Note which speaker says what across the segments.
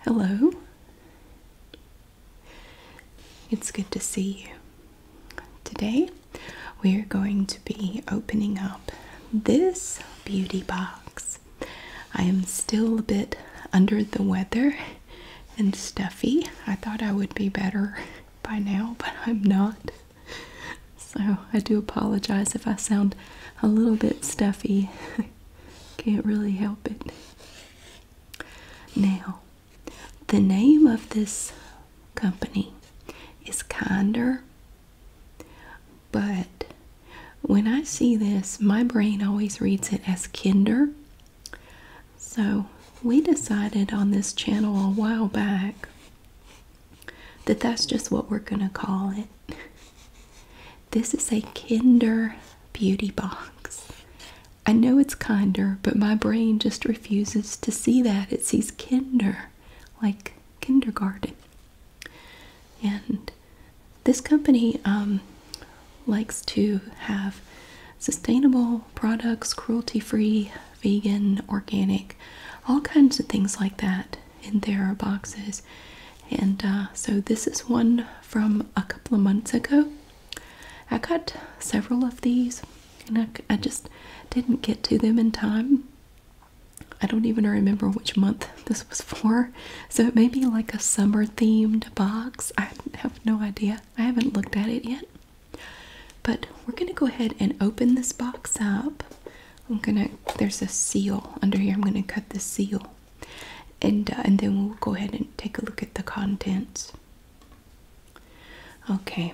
Speaker 1: Hello. It's good to see you. Today we are going to be opening up this beauty box. I am still a bit under the weather and stuffy. I thought I would be better by now, but I'm not. so I do apologize if I sound a little bit stuffy. Can't really help it. Now, the name of this company is Kinder, but when I see this, my brain always reads it as Kinder. So, we decided on this channel a while back that that's just what we're going to call it. This is a Kinder Beauty Box. I know it's kinder, but my brain just refuses to see that. It sees Kinder, like kindergarten. And this company um, likes to have sustainable products, cruelty free vegan, organic, all kinds of things like that in their boxes. And uh, so this is one from a couple of months ago. I got several of these and I just didn't get to them in time. I don't even remember which month this was for, so it may be like a summer themed box. I have no idea. I haven't looked at it yet. But we're going to go ahead and open this box up. I'm gonna. There's a seal under here. I'm gonna cut the seal, and uh, and then we'll go ahead and take a look at the contents. Okay,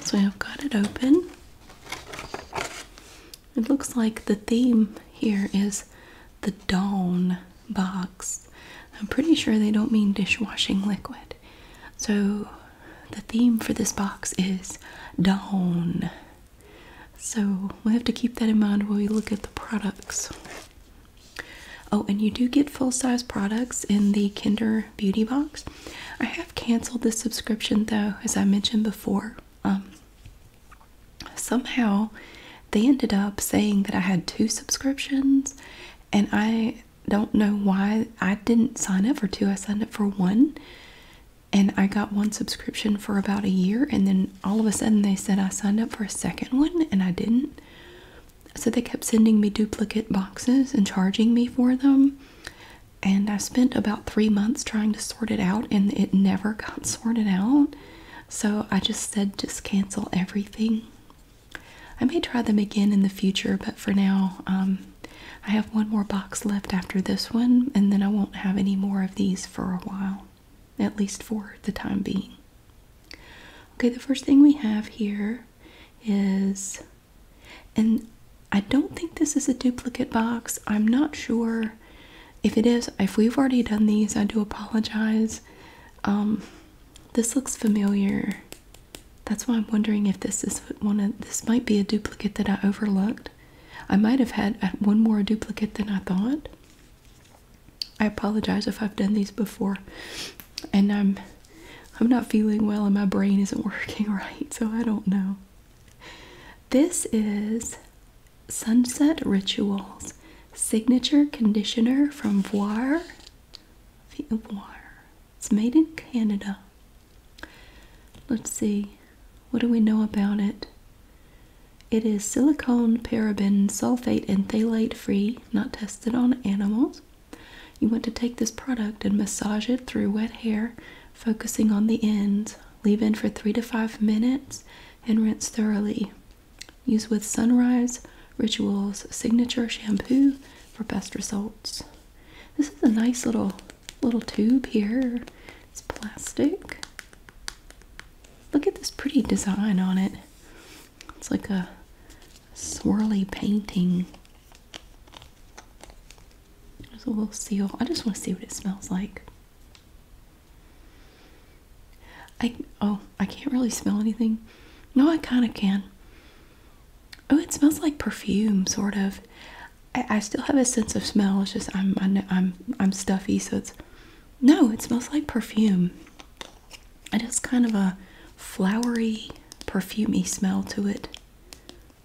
Speaker 1: so I've got it open. It looks like the theme here is the Dawn box. I'm pretty sure they don't mean dishwashing liquid. So the theme for this box is dawn. So we'll have to keep that in mind while we look at the products. Oh, and you do get full size products in the Kinder Beauty box. I have canceled this subscription though, as I mentioned before. Um, somehow they ended up saying that I had two subscriptions, and I don't know why I didn't sign up for two, I signed up for one and I got one subscription for about a year, and then all of a sudden they said I signed up for a second one, and I didn't. So they kept sending me duplicate boxes and charging me for them. And I spent about three months trying to sort it out, and it never got sorted out. So I just said, just cancel everything. I may try them again in the future, but for now, um, I have one more box left after this one, and then I won't have any more of these for a while, at least for the time being. Okay, the first thing we have here is, and I don't think this is a duplicate box. I'm not sure if it is. If we've already done these, I do apologize. Um, this looks familiar. That's why I'm wondering if this is one of this might be a duplicate that I overlooked. I might have had uh, one more duplicate than I thought. I apologize if I've done these before and I'm I'm not feeling well and my brain isn't working right, so I don't know. This is Sunset Rituals Signature Conditioner from Voir. Voir. It's made in Canada. Let's see, what do we know about it? It is silicone, paraben, sulfate, and phthalate free, not tested on animals. You want to take this product and massage it through wet hair, focusing on the ends. Leave in for three to five minutes and rinse thoroughly. Use with Sunrise Rituals Signature Shampoo for best results. This is a nice little little tube here. It's plastic. Look at this pretty design on it. It's like a swirly painting. There's a little seal. I just want to see what it smells like. I oh, I can't really smell anything. No, I kind of can. Oh, it smells like perfume, sort of. I, still have a sense of smell. It's just I'm I I'm I'm stuffy, so it's no. It smells like perfume. It has kind of a flowery, perfumey smell to it.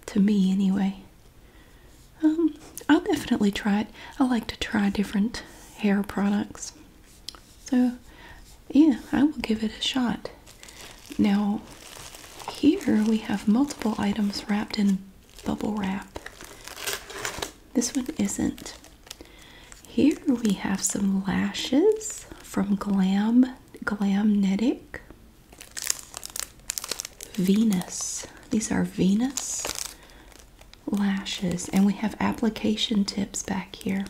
Speaker 1: To me, anyway. Um, I'll definitely try it. I like to try different hair products. So, yeah, I will give it a shot. Now, here we have multiple items wrapped in bubble wrap. This one isn't. Here we have some lashes from Glam Glamnetic. Venus. These are Venus lashes, and we have application tips back here.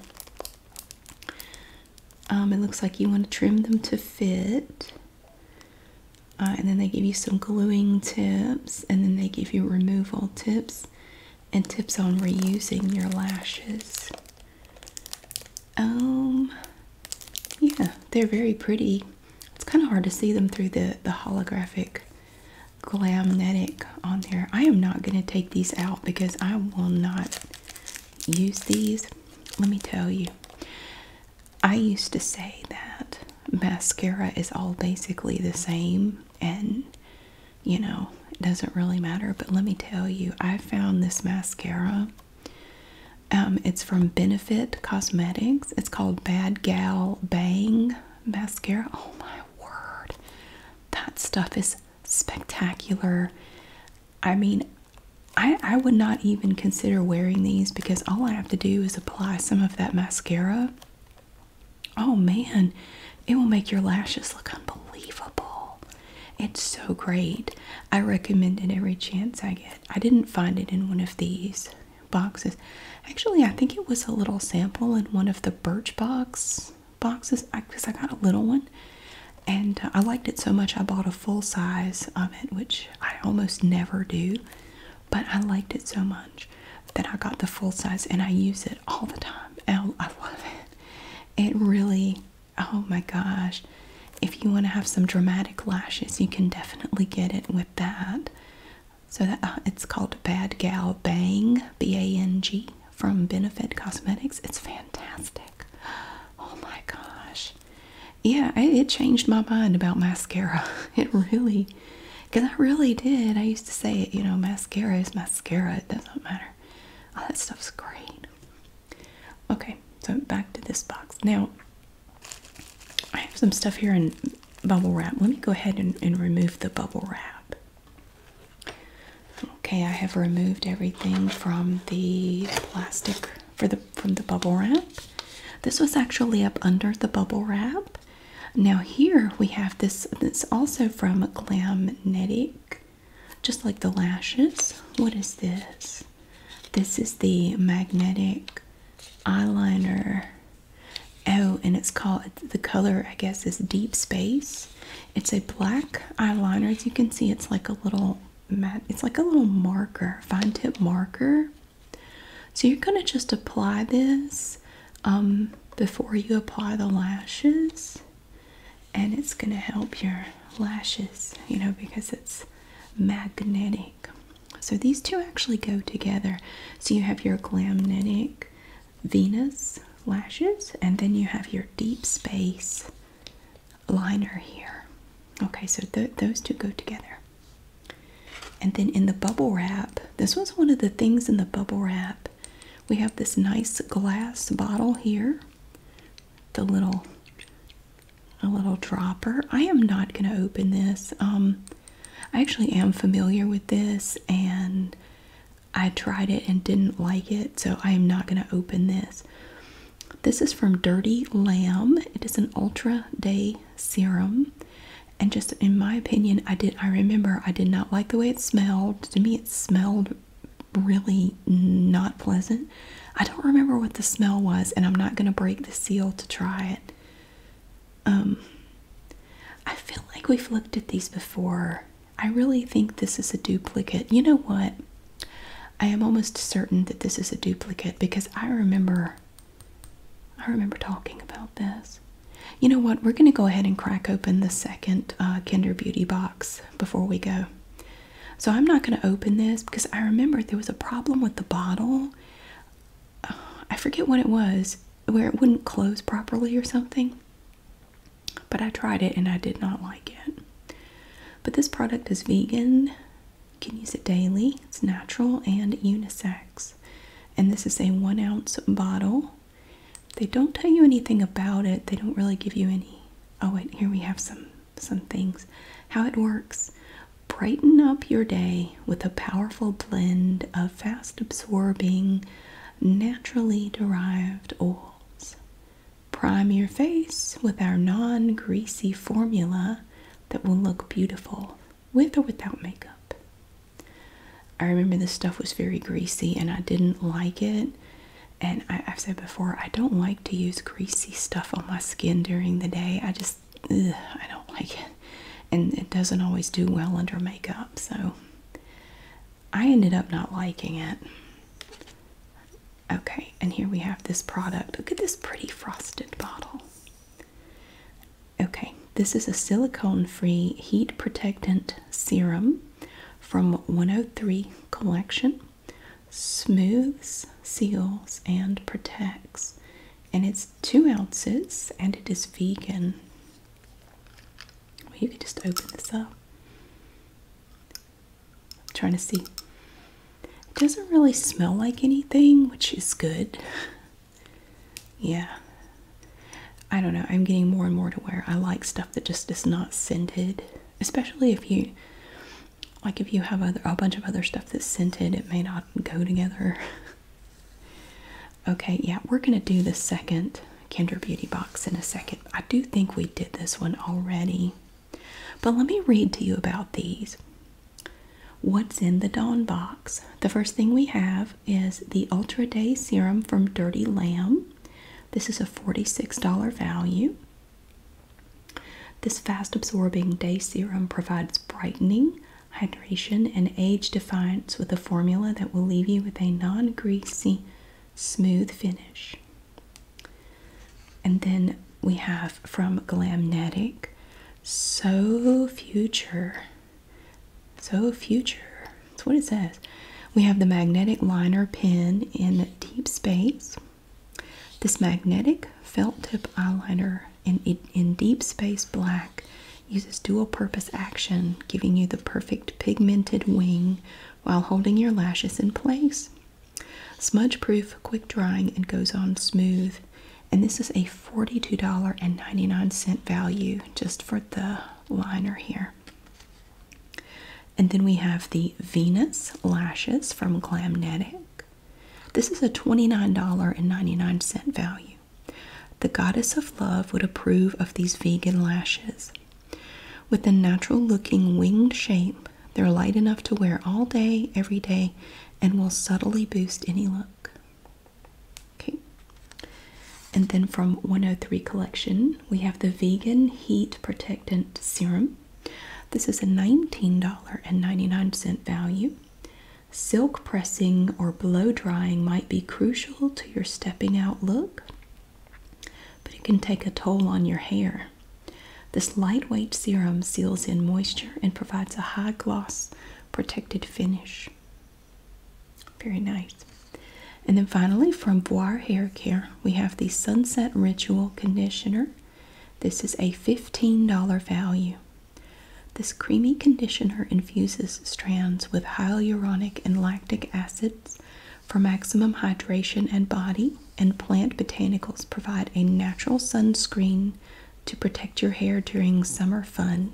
Speaker 1: Um, it looks like you want to trim them to fit. Uh, and then they give you some gluing tips, and then they give you removal tips and tips on reusing your lashes. Um, yeah, they're very pretty. It's kind of hard to see them through the, the holographic glamnetic on there. I am not going to take these out because I will not use these. Let me tell you. I used to say that mascara is all basically the same and you know, it doesn't really matter, but let me tell you, I found this mascara. Um, it's from Benefit Cosmetics. It's called Bad Gal Bang Mascara. Oh my word. That stuff is spectacular. I mean, I, would not even consider wearing these because all I have to do is apply some of that mascara. Oh man, it will make your lashes look unbelievable. It's so great. I recommend it every chance I get. I didn't find it in one of these boxes. Actually, I think it was a little sample in one of the Birchbox boxes because I got a little one and uh, I liked it so much I bought a full size of it, which I almost never do, but I liked it so much that I got the full size and I use it all the time. And oh, I love it. It really, oh my gosh. If you want to have some dramatic lashes, you can definitely get it with that. So that uh, it's called Bad Gal Bang, B A N G, from Benefit Cosmetics. It's fantastic. Oh my gosh yeah, it changed my mind about mascara. It really, because I really did. I used to say it, you know, mascara is mascara. It doesn't matter. All that stuff's great. Okay, so back to this box. Now, I have some stuff here in bubble wrap. Let me go ahead and, and remove the bubble wrap. Okay, I have removed everything from the plastic for the from the bubble wrap. This was actually up under the bubble wrap. Now here we have this. It's also from Glamnetic, just like the lashes. What is this? This is the magnetic eyeliner. Oh, and it's called the color. I guess is Deep Space. It's a black eyeliner. As you can see, it's like a little it's like a little marker, fine tip marker. So you're going to just apply this um, before you apply the lashes. And it's going to help your lashes, you know, because it's magnetic. So these two actually go together. So you have your Glamnetic Venus lashes, and then you have your Deep Space liner here. Okay, so those two go together. And then in the bubble wrap, this was one of the things in the bubble wrap. We have this nice glass bottle here. The little a little dropper. I am not going to open this. Um I actually am familiar with this and I tried it and didn't like it, so I am not going to open this. This is from Dirty Lamb. It is an Ultra Day serum. And just in my opinion, I did I remember I did not like the way it smelled. To me it smelled really not pleasant. I don't remember what the smell was and I'm not going to break the seal to try it. Um I feel like we've looked at these before. I really think this is a duplicate. You know what? I am almost certain that this is a duplicate because I remember I remember talking about this. You know what? We're going to go ahead and crack open the second uh, Kinder Beauty box before we go. So I'm not going to open this because I remember there was a problem with the bottle. I forget what it was, where it wouldn't close properly or something. But I tried it and I did not like it. But this product is vegan you can use it daily. It's natural and unisex. And this is a one ounce bottle. They don't tell you anything about it. They don't really give you any. Oh, wait, here we have some some things. How it works. Brighten up your day with a powerful blend of fast absorbing, naturally derived oils. Prime your face with our non greasy formula that will look beautiful with or without makeup. I remember this stuff was very greasy and I didn't like it. And I, have said before, I don't like to use greasy stuff on my skin during the day. I just, I don't like it. And it doesn't always do well under makeup. So I ended up not liking it. Okay, and here we have this product. Look at this pretty frosted bottle. Okay, this is a silicone free heat protectant serum from 103 Collection. Smooths, seals, and protects. And it's two ounces and it is vegan. Well, you can just open this up. I'm trying to see. It doesn't really smell like anything, which is good. yeah. I don't know. I'm getting more and more to where I like stuff that just is not scented, especially if you like if you have other, a bunch of other stuff that's scented, it may not go together. okay, yeah, we're gonna do the second Kinder Beauty box in a second. I do think we did this one already. But let me read to you about these. What's in the Dawn box? The first thing we have is the Ultra Day Serum from Dirty Lamb. This is a $46 value. This fast absorbing day serum provides brightening, hydration, and age defiance with a formula that will leave you with a non greasy, smooth finish. And then we have from Glamnetic, So Future. So Future. That's what it says. We have the magnetic liner pen in Deep Space. This magnetic felt tip eyeliner in, in Deep Space Black uses dual purpose action, giving you the perfect pigmented wing while holding your lashes in place. Smudge proof, quick drying, and goes on smooth. And this is a $42.99 value just for the liner here. And then we have the Venus lashes from Glamnetic. This is a $29.99 value. The goddess of love would approve of these vegan lashes. With a natural looking winged shape, they're light enough to wear all day, every day, and will subtly boost any look. Okay. And then from 103 Collection, we have the Vegan Heat Protectant Serum. This is a $19.99 value. Silk pressing or blow drying might be crucial to your stepping out look, but it can take a toll on your hair. This lightweight serum seals in moisture and provides a high gloss protected finish. Very nice. And then finally, from Boire Hair Care, we have the Sunset Ritual Conditioner. This is a $15 value. This creamy conditioner infuses strands with hyaluronic and lactic acids for maximum hydration and body and plant botanicals provide a natural sunscreen to protect your hair during summer fun.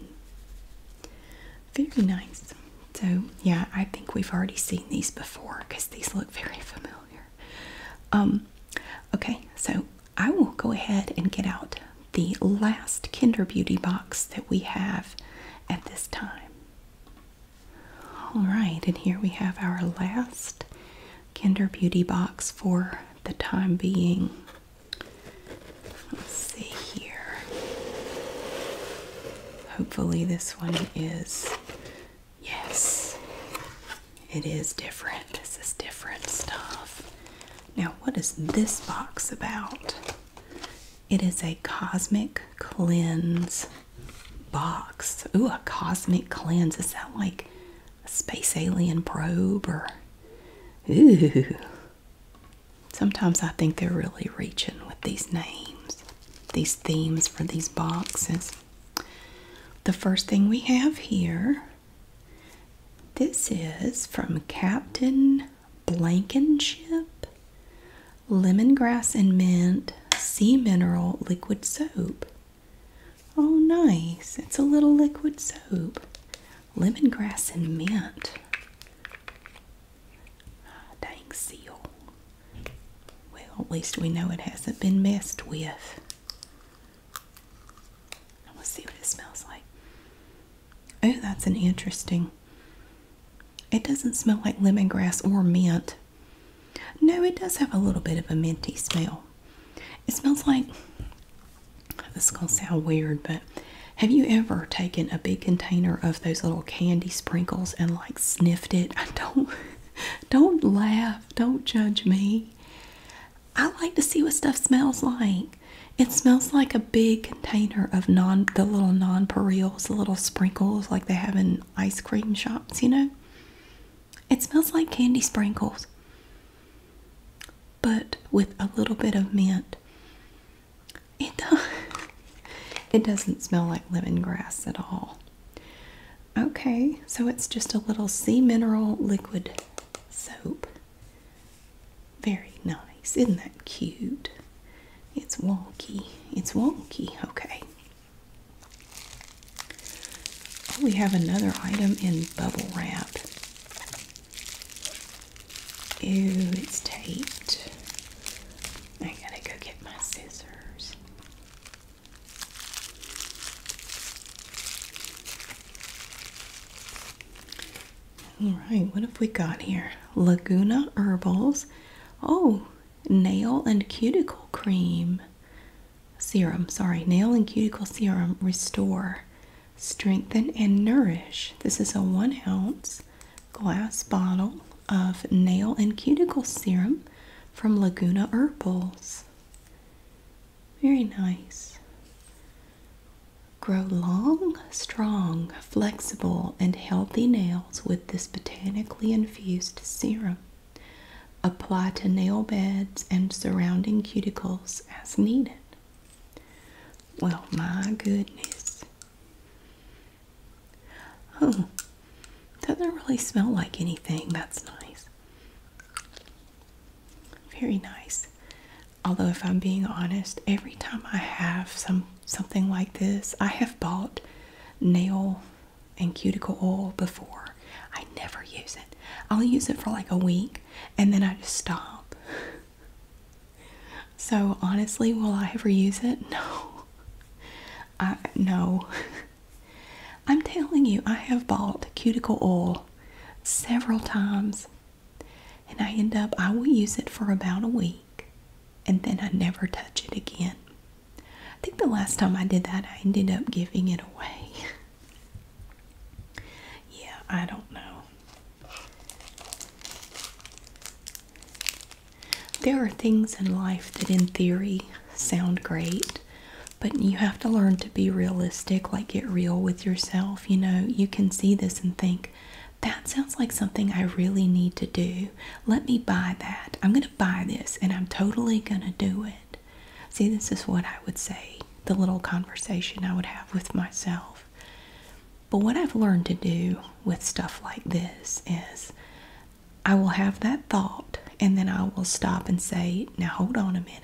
Speaker 1: Very nice. So, yeah, I think we've already seen these before because these look very familiar. Um, okay, so I will go ahead and get out the last Kinder Beauty box that we have at this time. All right, and here we have our last Kinder Beauty box for the time being. Let's see here. Hopefully, this one is. Yes, it is different. This is different stuff. Now, what is this box about? It is a cosmic cleanse box. Ooh, a cosmic cleanse. Is that like a space alien probe or ooh. Sometimes I think they're really reaching with these names, these themes for these boxes. The first thing we have here, this is from Captain Blankenship, lemongrass and mint, sea mineral liquid soap. Oh, nice. It's a little liquid soap. Lemongrass and mint. Ah, dang seal. Well, at least we know it hasn't been messed with. Let's see what it smells like. Oh, that's an interesting. It doesn't smell like lemongrass or mint. No, it does have a little bit of a minty smell. It smells like this is gonna sound weird, but have you ever taken a big container of those little candy sprinkles and like sniffed it? I don't don't laugh, don't judge me. I like to see what stuff smells like. It smells like a big container of non the little nonpareils, the little sprinkles like they have in ice cream shops, you know? It smells like candy sprinkles, but with a little bit of mint. It does. It doesn't smell like lemongrass at all. Okay, so it's just a little sea mineral liquid soap. Very nice. Isn't that cute? It's wonky. It's wonky. Okay. Oh, we have another item in bubble wrap. Ew, it's taped. I gotta go get my scissors. Alright, what have we got here? Laguna Herbals. Oh, nail and cuticle cream serum, sorry, nail and cuticle serum restore, strengthen, and nourish. This is a one ounce glass bottle of nail and cuticle serum from Laguna Herbals. Very nice. Grow long, strong, flexible, and healthy nails with this botanically infused serum. Apply to nail beds and surrounding cuticles as needed. Well, my goodness. Oh, doesn't really smell like anything. That's nice. Very nice. Although, if I'm being honest, every time I have some something like this, I have bought nail and cuticle oil before. I never use it. I'll use it for like a week and then I just stop. So honestly, will I ever use it? No. I no. I'm telling you, I have bought cuticle oil several times and I end up I will use it for about a week and then I never touch it again. I think the last time I did that, I ended up giving it away. yeah, I don't know. There are things in life that, in theory, sound great, but you have to learn to be realistic, like get real with yourself. You know, you can see this and think, that sounds like something I really need to do. Let me buy that. I'm going to buy this and I'm totally going to do it. See, this is what I would say, the little conversation I would have with myself. But what I've learned to do with stuff like this is I will have that thought and then I will stop and say, now hold on a minute.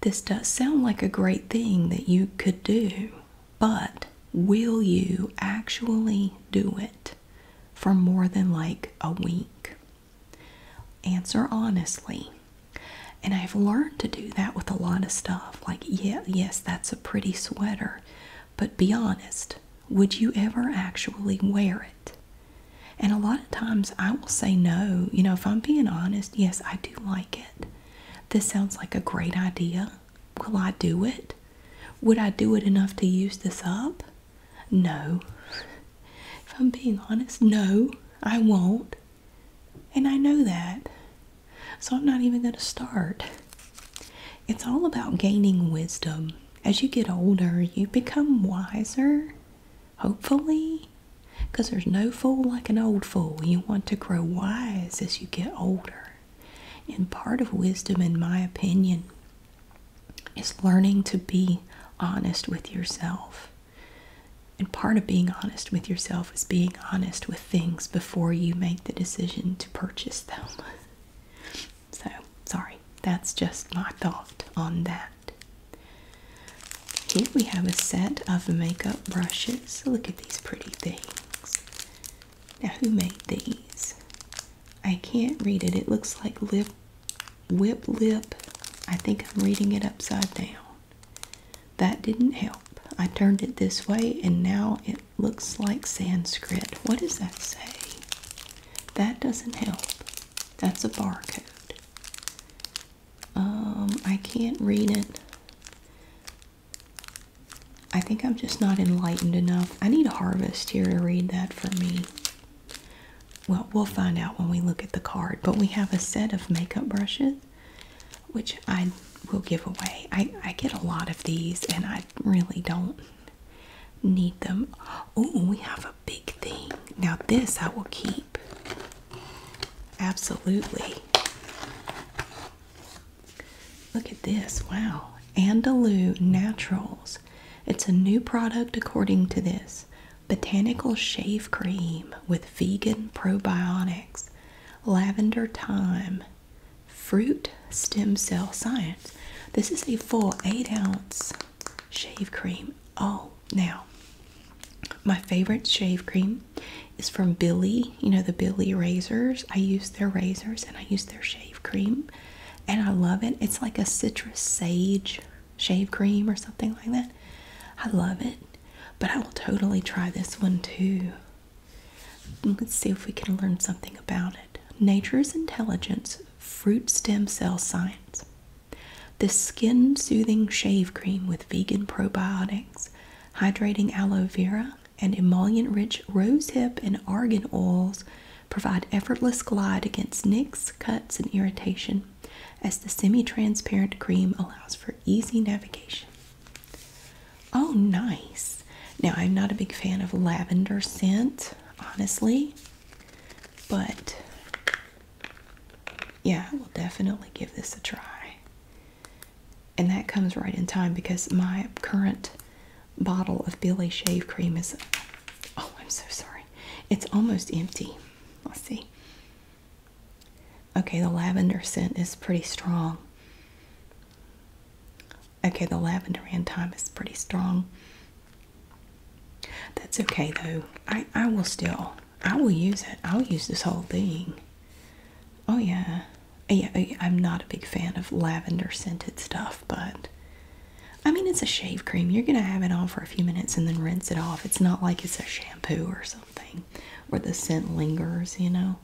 Speaker 1: This does sound like a great thing that you could do, but will you actually do it? for more than like a week? Answer honestly. And I've learned to do that with a lot of stuff. Like, yeah, yes, that's a pretty sweater, but be honest. Would you ever actually wear it? And a lot of times I will say no. You know, if I'm being honest, yes, I do like it. This sounds like a great idea. Will I do it? Would I do it enough to use this up? No. If I'm being honest, no, I won't. And I know that. So I'm not even going to start. It's all about gaining wisdom. As you get older, you become wiser, hopefully, because there's no fool like an old fool. You want to grow wise as you get older. And part of wisdom, in my opinion, is learning to be honest with yourself. And part of being honest with yourself is being honest with things before you make the decision to purchase them. So, sorry, that's just my thought on that. Here we have a set of makeup brushes. Look at these pretty things. Now, who made these? I can't read it. It looks like lip Whip lip. I think I'm reading it upside down. That didn't help. I turned it this way and now it looks like Sanskrit. What does that say? That doesn't help. That's a barcode. Um, I can't read it. I think I'm just not enlightened enough. I need a harvest here to read that for me. Well, we'll find out when we look at the card, but we have a set of makeup brushes which I will give away. I, get a lot of these and I really don't need them. Oh, we have a big thing. Now, this I will keep. Absolutely. Look at this. Wow. Andalou Naturals it's a new product according to this botanical shave cream with vegan probiotics, lavender thyme, fruit stem cell science. This is a full eight ounce shave cream. Oh, now my favorite shave cream is from Billy, you know, the Billy razors. I use their razors and I use their shave cream and I love it. It's like a citrus sage shave cream or something like that. I love it, but I will totally try this one too. Let's see if we can learn something about it. Nature's Intelligence Fruit Stem Cell Science. This skin soothing shave cream with vegan probiotics, hydrating aloe vera, and emollient rich rosehip and argan oils provide effortless glide against nicks, cuts, and irritation, as the semi-transparent cream allows for easy navigation. Oh, nice! Now, I'm not a big fan of lavender scent, honestly, but yeah, I will definitely give this a try. And that comes right in time because my current bottle of Billy shave cream is oh, I'm so sorry. It's almost empty. Let's see. Okay, the lavender scent is pretty strong. Okay, the lavender and thyme is pretty strong. That's okay though. I I will still I will use it. I'll use this whole thing. Oh yeah. Yeah, I'm not a big fan of lavender scented stuff, but I mean, it's a shave cream. You're going to have it on for a few minutes and then rinse it off. It's not like it's a shampoo or something where the scent lingers, you know.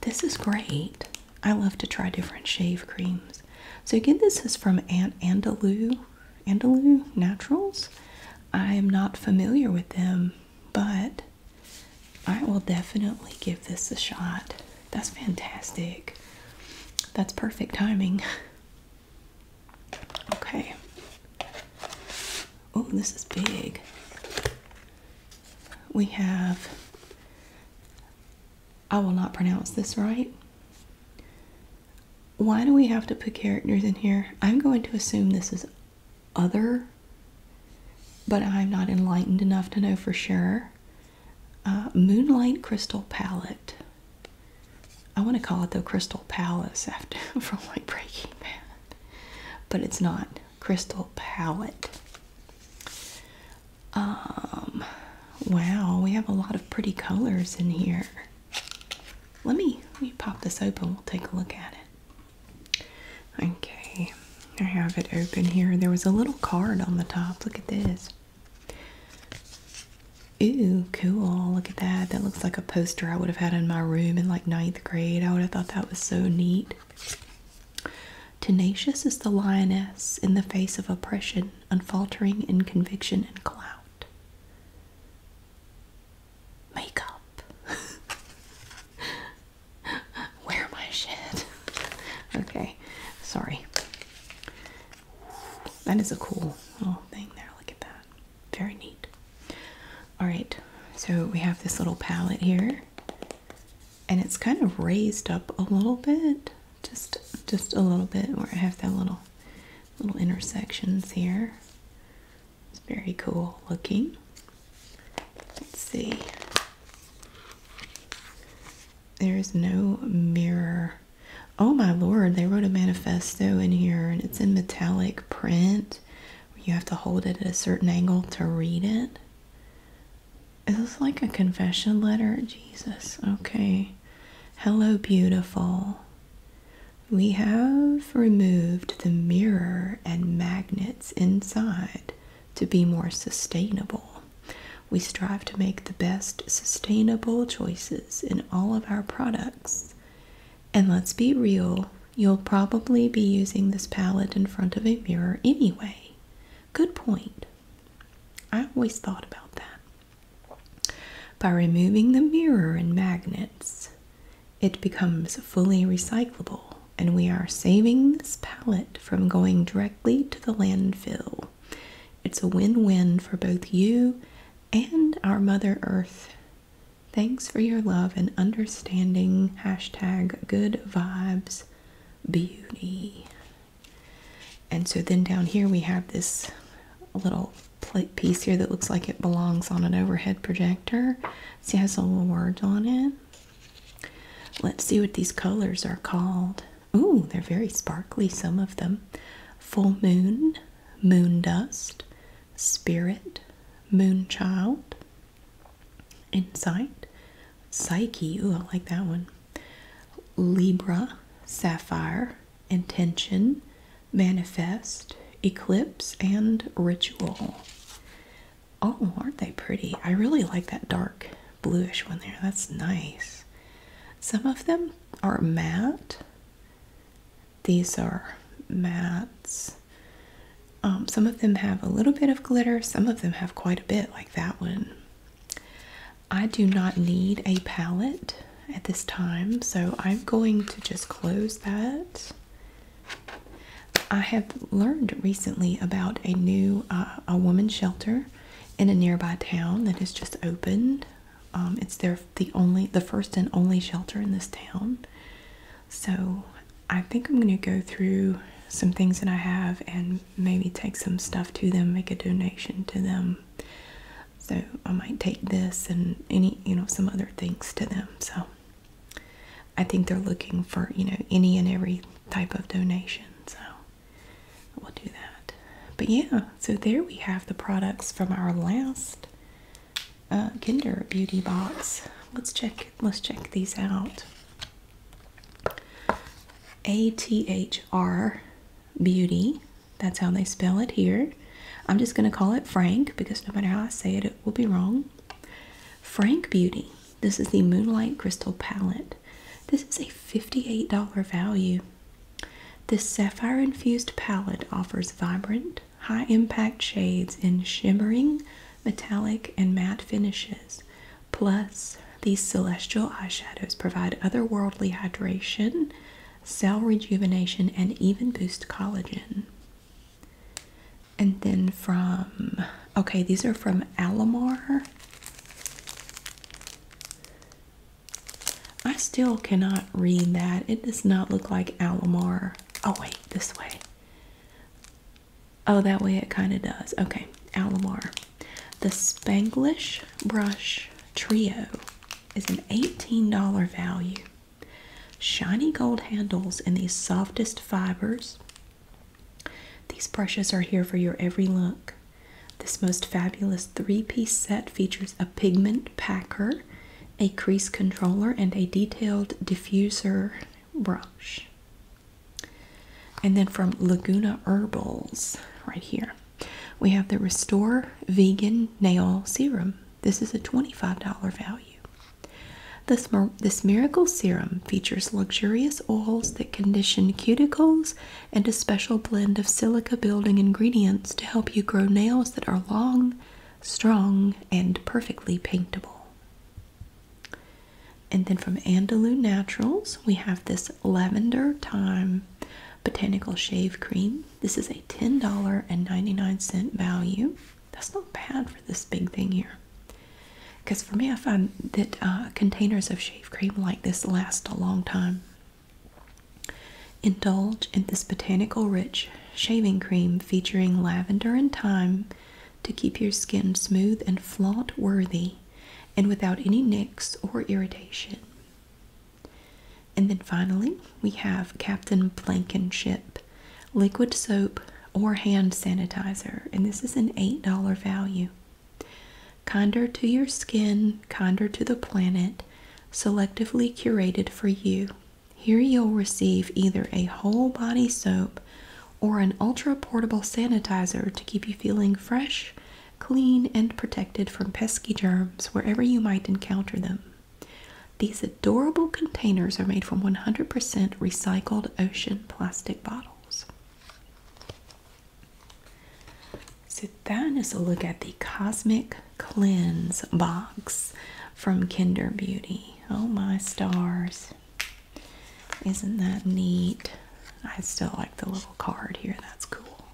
Speaker 1: This is great. I love to try different shave creams. So again, this is from Aunt Andalou, Andalou Naturals. I am not familiar with them, but I will definitely give this a shot. That's fantastic. That's perfect timing. Okay. Oh, this is big. We have, I will not pronounce this right. Why do we have to put characters in here? I'm going to assume this is other, but I'm not enlightened enough to know for sure. Uh, Moonlight Crystal Palette. I want to call it the Crystal Palace after from like Breaking Bad, but it's not Crystal Palette. Um, wow, we have a lot of pretty colors in here. Let me let me pop this open. We'll take a look at it. Okay, I have it open here. There was a little card on the top. Look at this. Ooh, cool. Look at that. That looks like a poster I would have had in my room in like ninth grade. I would have thought that was so neat. Tenacious is the lioness in the face of oppression, unfaltering in conviction and clout. Makeup. Where my shit? okay, sorry. That is a cool little thing there. Look at that. Very neat. Alright, so we have this little palette here. And it's kind of raised up a little bit. Just just a little bit where I have that little little intersections here. It's very cool looking. Let's see there is no mirror. Oh my lord, they wrote a manifesto in here and it's in metallic print. You have to hold it at a certain angle to read it. Is this like a confession letter? Jesus, okay. Hello, beautiful. We have removed the mirror and magnets inside to be more sustainable. We strive to make the best sustainable choices in all of our products. And let's be real, you'll probably be using this palette in front of a mirror anyway. Good point. I always thought about that. By removing the mirror and magnets, it becomes fully recyclable, and we are saving this palette from going directly to the landfill. It's a win win for both you and our Mother Earth. Thanks for your love and understanding. Hashtag good vibes beauty. And so then down here we have this little piece here that looks like it belongs on an overhead projector. See, it has a little words on it. Let's see what these colors are called. Ooh, they're very sparkly, some of them. Full moon, moon dust, spirit, moonchild, insight, psyche. Ooh, I like that one. Libra, sapphire, intention, manifest, eclipse, and ritual. Oh, aren't they pretty? I really like that dark bluish one there. That's nice. Some of them are matte. These are mattes. Um, some of them have a little bit of glitter. Some of them have quite a bit, like that one. I do not need a palette at this time, so I'm going to just close that. I have learned recently about a new uh, a woman shelter in a nearby town that has just opened. Um, it's their the only the first and only shelter in this town. So I think I'm going to go through some things that I have and maybe take some stuff to them, make a donation to them. So I might take this and any, you know, some other things to them. So I think they're looking for, you know, any and every type of donation. So we'll do that. But yeah, so there we have the products from our last uh, Kinder Beauty box. Let's check. Let's check these out. A T H R Beauty. That's how they spell it here. I'm just going to call it Frank because no matter how I say it, it will be wrong. Frank Beauty. This is the Moonlight Crystal Palette. This is a $58 value. This sapphire infused palette offers vibrant, high impact shades in shimmering, metallic, and matte finishes. Plus, these celestial eyeshadows provide otherworldly hydration, cell rejuvenation, and even boost collagen. And then from, okay, these are from Alamar. I still cannot read that. It does not look like Alamar. Oh, wait, this way. Oh, that way it kind of does. Okay, Alamar. The Spanglish Brush Trio is an $18 value. Shiny gold handles and these softest fibers. These brushes are here for your every look. This most fabulous three piece set features a pigment packer, a crease controller, and a detailed diffuser brush. And then from Laguna Herbals, right here, we have the Restore Vegan Nail Serum. This is a $25 value. This, this miracle serum features luxurious oils that condition cuticles and a special blend of silica building ingredients to help you grow nails that are long, strong, and perfectly paintable. And then from Andalou Naturals, we have this lavender thyme botanical shave cream. This is a $10.99 value. That's not bad for this big thing here. Because for me, I find that uh, containers of shave cream like this lasts a long time. Indulge in this botanical rich shaving cream featuring lavender and thyme to keep your skin smooth and flaunt worthy and without any nicks or irritation. And then finally, we have Captain Blankenship liquid soap or hand sanitizer, and this is an $8 value. Kinder to your skin, kinder to the planet, selectively curated for you. Here you'll receive either a whole body soap or an ultra portable sanitizer to keep you feeling fresh, clean, and protected from pesky germs wherever you might encounter them. These adorable containers are made from 100% recycled ocean plastic bottles. So that is a look at the Cosmic Cleanse box from Kinder Beauty. Oh my stars. Isn't that neat? I still like the little card here. That's cool.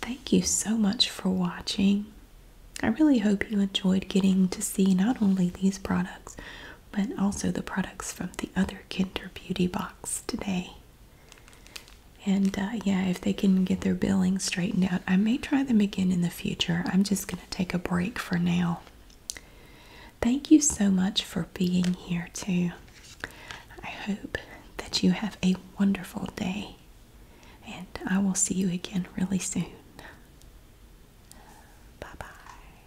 Speaker 1: Thank you so much for watching. I really hope you enjoyed getting to see not only these products, but also the products from the other Kinder Beauty box today. And uh, yeah, if they can get their billing straightened out, I may try them again in the future. I'm just going to take a break for now. Thank you so much for being here, too. I hope that you have a wonderful day, and I will see you again really soon. Bye bye.